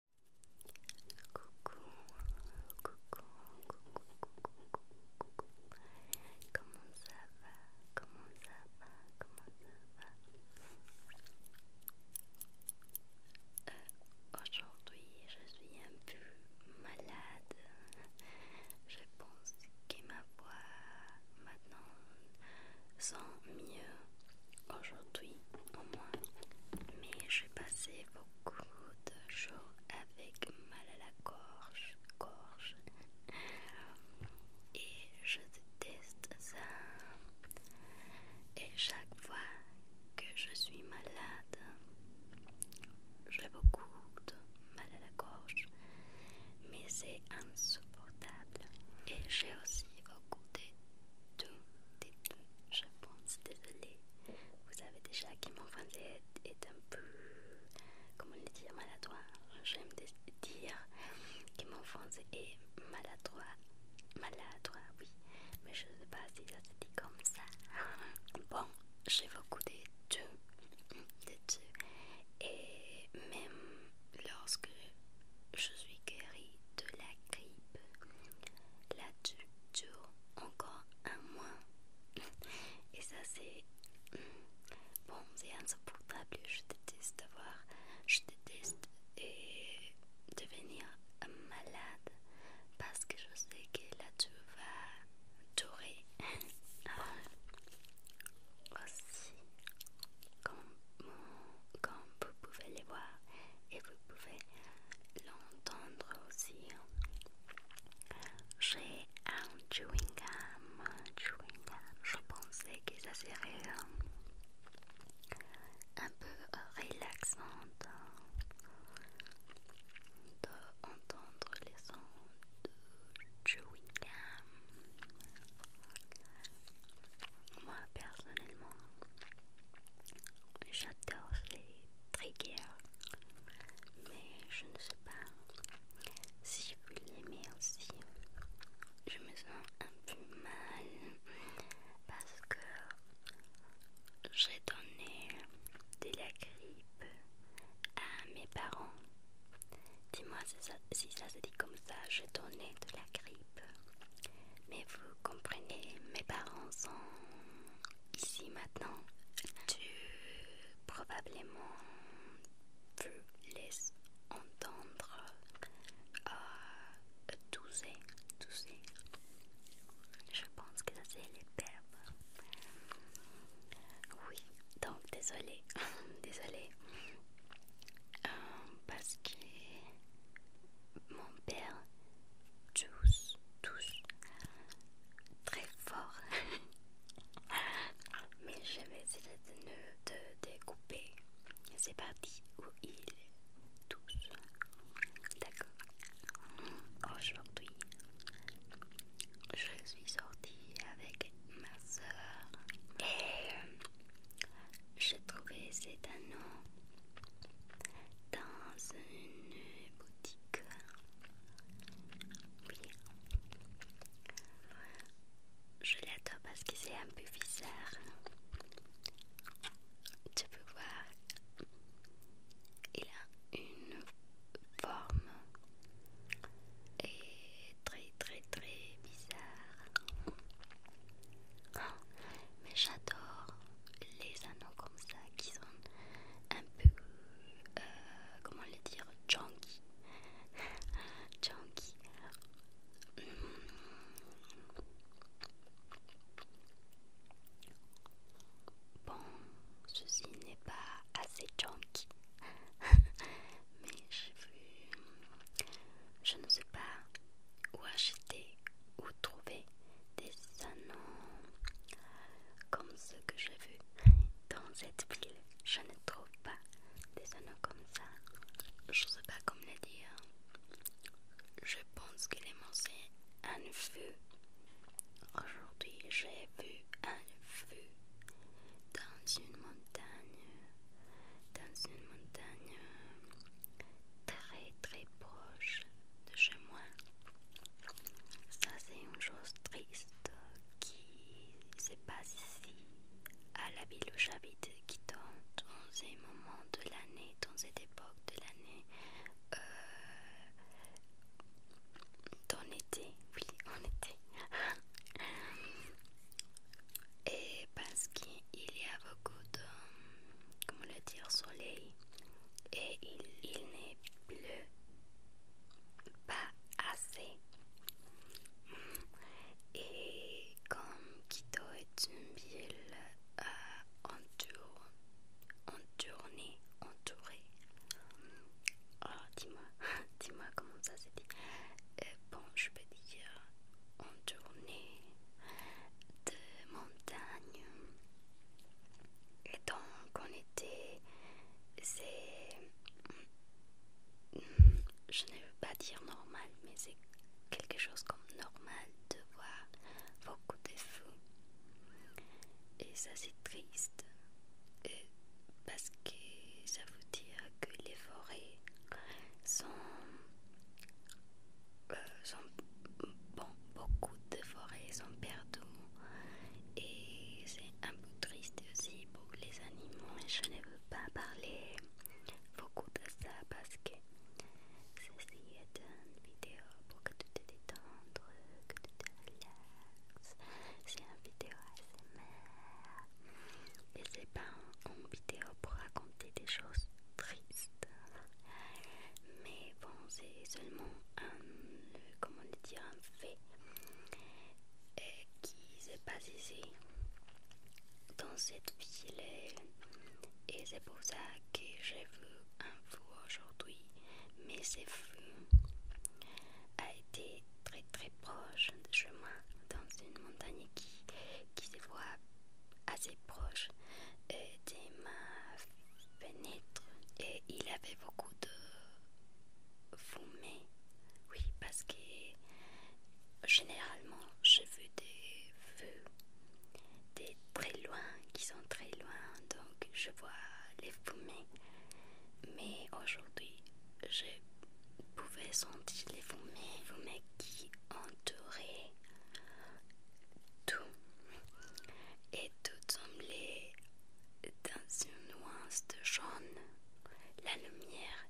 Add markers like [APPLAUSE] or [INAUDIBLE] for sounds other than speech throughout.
Coucou, coucou, coucou, coucou, coucou, comment ça va, comment ça va, comment ça va Aujourd'hui, je suis un peu malade. Je pense que ma voix maintenant sent mieux aujourd'hui au moins. Mais j'ai passé beaucoup de jours avec mal à la gorge, gorge. Et je déteste ça. Et chaque fois que je suis malade, j'ai beaucoup de mal à la gorge. Mais c'est insupportable. Et j'ai aussi beaucoup de tout des deux, je pense. désolé, vous savez déjà que mon français est un peu, comment le dire, maladroit. J'aime dire que mon français est maladroit, maladroit, oui, mais je ne sais pas si ça se dit comme ça. Bon, j'ai beaucoup de deux, de deux, et même lorsque je suis guérie de la la tu dure encore un mois. Et ça, c'est. Mm, bon, c'est insupportable. Je déteste voir. Je déteste et devenir malade parce que je sais que la tu va durer. Aussi, comme comme vous pouvez les voir et vous pouvez l'entendre aussi. J'ai un chewing gum, chewing Je pensais que ça serait euh, un peu relaxant d'entendre les sons de chewing gum. Moi personnellement, j'adore les triggers, mais je ne sais pas si vous l'aimez aussi. Je me sens un peu mal parce que j'ai donné de la grippe à mes parents. Dis-moi si ça, si ça se dit comme ça, j'ai donné de la grippe mais vous comprenez, mes parents sont ici maintenant. Tu probablement veux les entendre euh, tous tousser, Je pense que ça c'est les perles. Oui, donc désolé, [LAUGHS] désolé. Euh, parce que mon père tousse, tous très fort. [LAUGHS] Mais j'avais vais de, de, de C'est parti où il tous D'accord. Aujourd'hui, je suis sortie avec ma soeur et euh, je trouvé cet anneau dans une boutique. Oui. Je l'adore parce que c'est un peu bizarre. Tu peux voir, il a une forme et très très très bizarre. Oh, mais j'adore les anneaux comme ça qui sont un peu, euh, comment les dire, chunky. chunky. [LAUGHS] Bon, ceci n'est pas assez chunky. [LAUGHS] mais j'ai vu, je ne sais pas où acheter, ou trouver des anneaux comme ceux que j'ai vu dans cette ville. Je ne trouve pas des anneaux comme ça. Je ne sais pas comment le dire. Je pense qu'il est c'est un feu. Aujourd'hui, j'ai vu un feu dans une montagne, dans une montagne très très proche de chez moi. Ça c'est une chose triste qui se passe ici à la ville où j'habite qui tombe dans ces moments de l'année, dans cette époque de l'année. Euh, en été, oui, en été. [LAUGHS] et parce qu'il y a beaucoup de comment le dire soleil et il, il n'est plus pas assez et comme Quito est une ville euh, entourée Alors oh, dis-moi [LAUGHS] dis-moi comment ça s'est dit euh, bon, je peux dire, en journée de montagne. Et donc, en était, c'est. Je ne veux pas dire normal, mais c'est quelque chose comme normal de voir beaucoup de fous Et ça, c'est triste parce que ça veut dire que les forêts euh, sont, bon, beaucoup de forêts sont perdues et c'est un peu triste aussi pour les animaux. et Je ne veux pas parler beaucoup de ça parce que c'est une vidéo pour que tu te détendes, que tu te relaxes. C'est une vidéo assez ASMR et c'est pas en, vidéo pour raconter des choses tristes. Mais bon, c'est seulement un, comment dire, un fait euh, qui s'est passé ici, dans cette ville. Et c'est pour ça que j'ai vu un feu aujourd'hui. Mais ce fou a été très très proche de chemin dans une montagne qui, qui se voit assez proche et de ma fenêtre et il avait beaucoup de fumée oui parce que généralement je veux des feux des très loin qui sont très loin donc je vois les fumées mais aujourd'hui je pouvais sentir les fumées, fumées qui entouraient tout. Et tout semblait dans une nuance de jaune. La lumière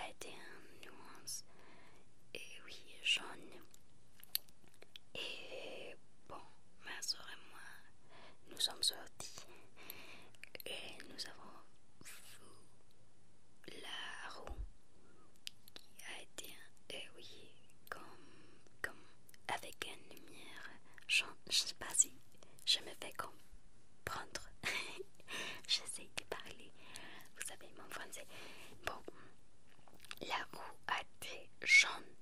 a été une nuance, et oui, jaune. Et bon, ma soeur et moi, nous sommes sortis et nous avons vu la roue qui a été oui comme, comme avec une lumière. Je ne sais pas si je me fais comprendre. [LAUGHS] J'essaie de parler. Vous savez, mon français. Bon, la roue a été jaune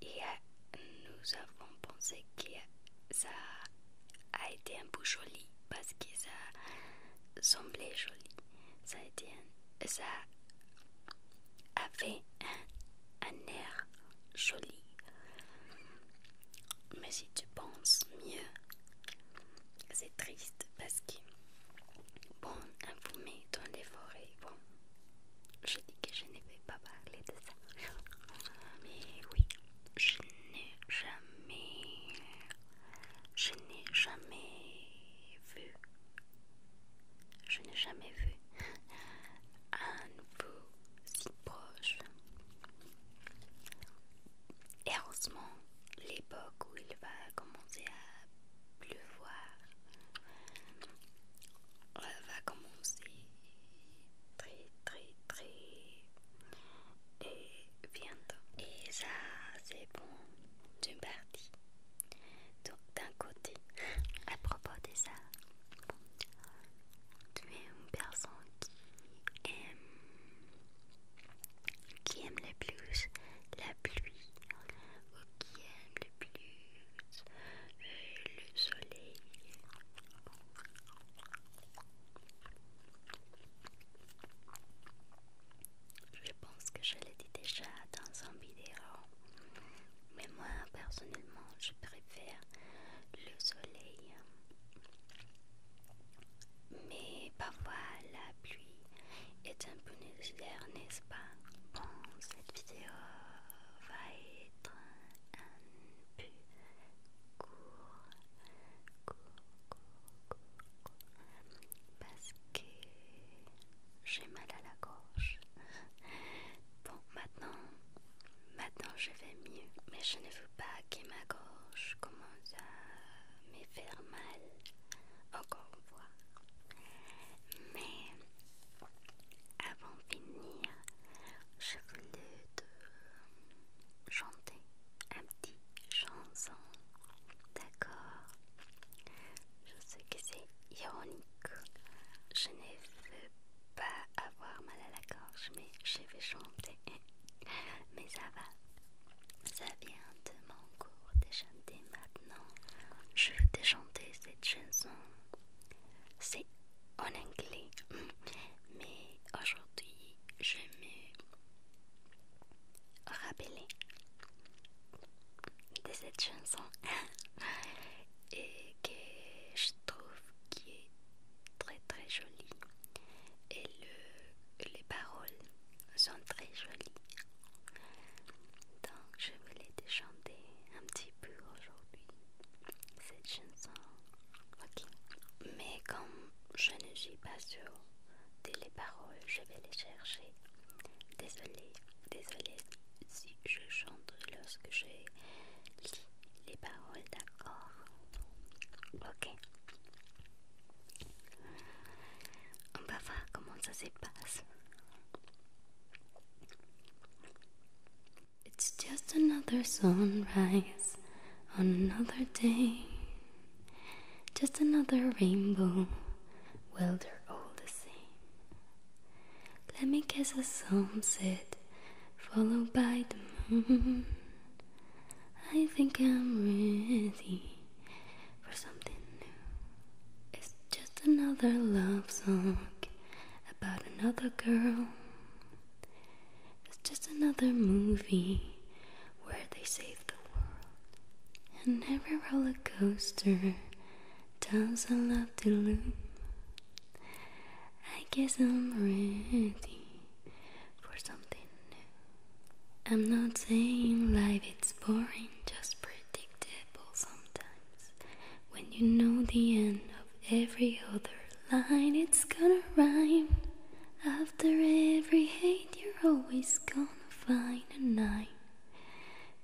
et euh, nous avons pensé qu'il ça a été un peu joli parce que ça semblait joli. Ça a, un, ça avait un, air joli. Mais si tu penses mieux, c'est triste parce que, bon, un fumet dans les forêts, bon, j'ai dit que je ne pas parler de ça. Mais oui, je n'ai jamais... Je n'ai jamais vu... Je n'ai jamais vu un nouveau si proche. Et heureusement, l'époque où il va commencer à pleuvoir euh, va commencer très très très et bientôt et ça c'est bon d'une partie d'un côté à propos de ça tu es une personne qui aime qui aime le plus la pluie ou qui aime le plus le soleil. Je pense que je l'ai dit déjà dans un vidéo, mais moi personnellement je préfère le soleil. Mais parfois la pluie est un peu nécessaire, n'est-ce pas Bon, cette vidéo va être un but court, court, court, court, parce que j'ai mal à la gorge. Bon, maintenant, maintenant je vais mieux, mais je ne veux pas que ma gorge commence à me faire mal. Encore une fois. Mais avant de finir, je voulais te chanter un petit chanson. D'accord Je sais que c'est ironique. Je ne veux pas avoir mal à la gorge, mais je vais chanter. [LAUGHS] Mais ça va. Ça vient de mon cours de chanter maintenant. Je vais te chanter cette chanson c'est en anglais, mm. mais aujourd'hui je me rappelle de cette chanson [LAUGHS] et que je trouve qui est très très jolie et le, les paroles sont très jolies donc je voulais te chanter un petit pour aujourd'hui cette chanson. Ok. Mais comme je ne suis pas sur des les paroles, je vais les chercher. désolé désolé si je chante lorsque j'ai lis les paroles, d'accord Ok. On va voir comment ça se passe. It's just another sunrise on another day. Just another rainbow. Well, they're all the same. Let me kiss a sunset followed by the moon. I think I'm ready for something new. It's just another love song about another girl. It's just another movie where they save the world. And every roller coaster tells a lot to loom. I guess I'm ready for something new. I'm not saying life is boring, just predictable sometimes. When you know the end of every other line, it's gonna rhyme. After every hate, you're always gonna find a nine.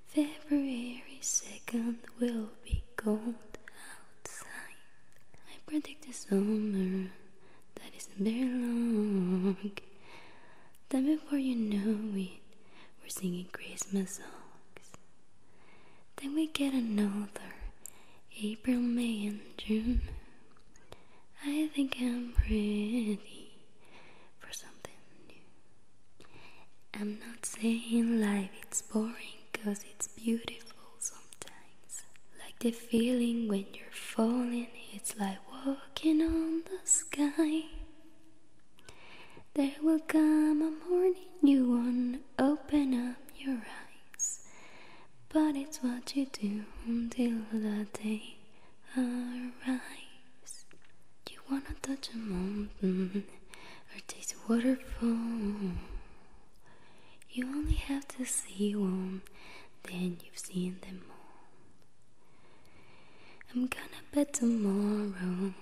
February 2nd will be cold outside. I predict a summer that isn't very long. Then before you know it, we're singing Christmas songs. Then we get another April, May, and June. I think I'm ready for something new. I'm not saying life it's boring, cause it's beautiful sometimes. Like the feeling when you're falling, it's like walking on the sky. There will come a morning you won't open up your eyes, but it's what you do until that day arrives. You wanna touch a mountain or taste a waterfall. You only have to see one, then you've seen them all. I'm gonna bet tomorrow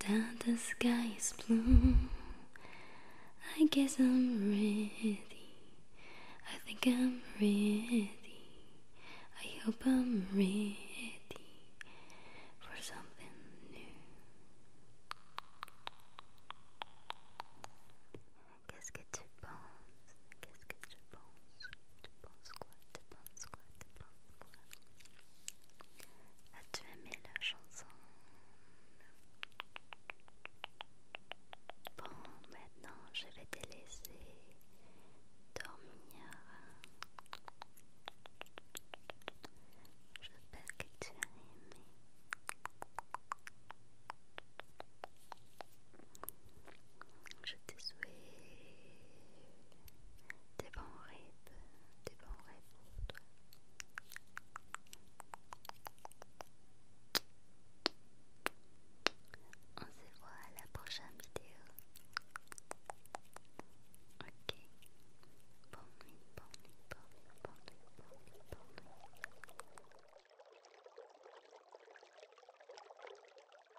that the sky is blue. I guess I'm ready. I think I'm ready. I hope I'm ready for something new. Tu penses, tu penses quoi, tu penses quoi, tu penses quoi As-tu aimé la chanson Bon, maintenant je vais te laisser dormir. Je J'espère que tu as aimé. Je te souhaite des bons rêves, des bons rêves pour toi. On se voit à la prochaine vidéo. Ok. Bonne nuit, bonne nuit, bonne nuit, bonne nuit, bonne nuit, bonne nuit.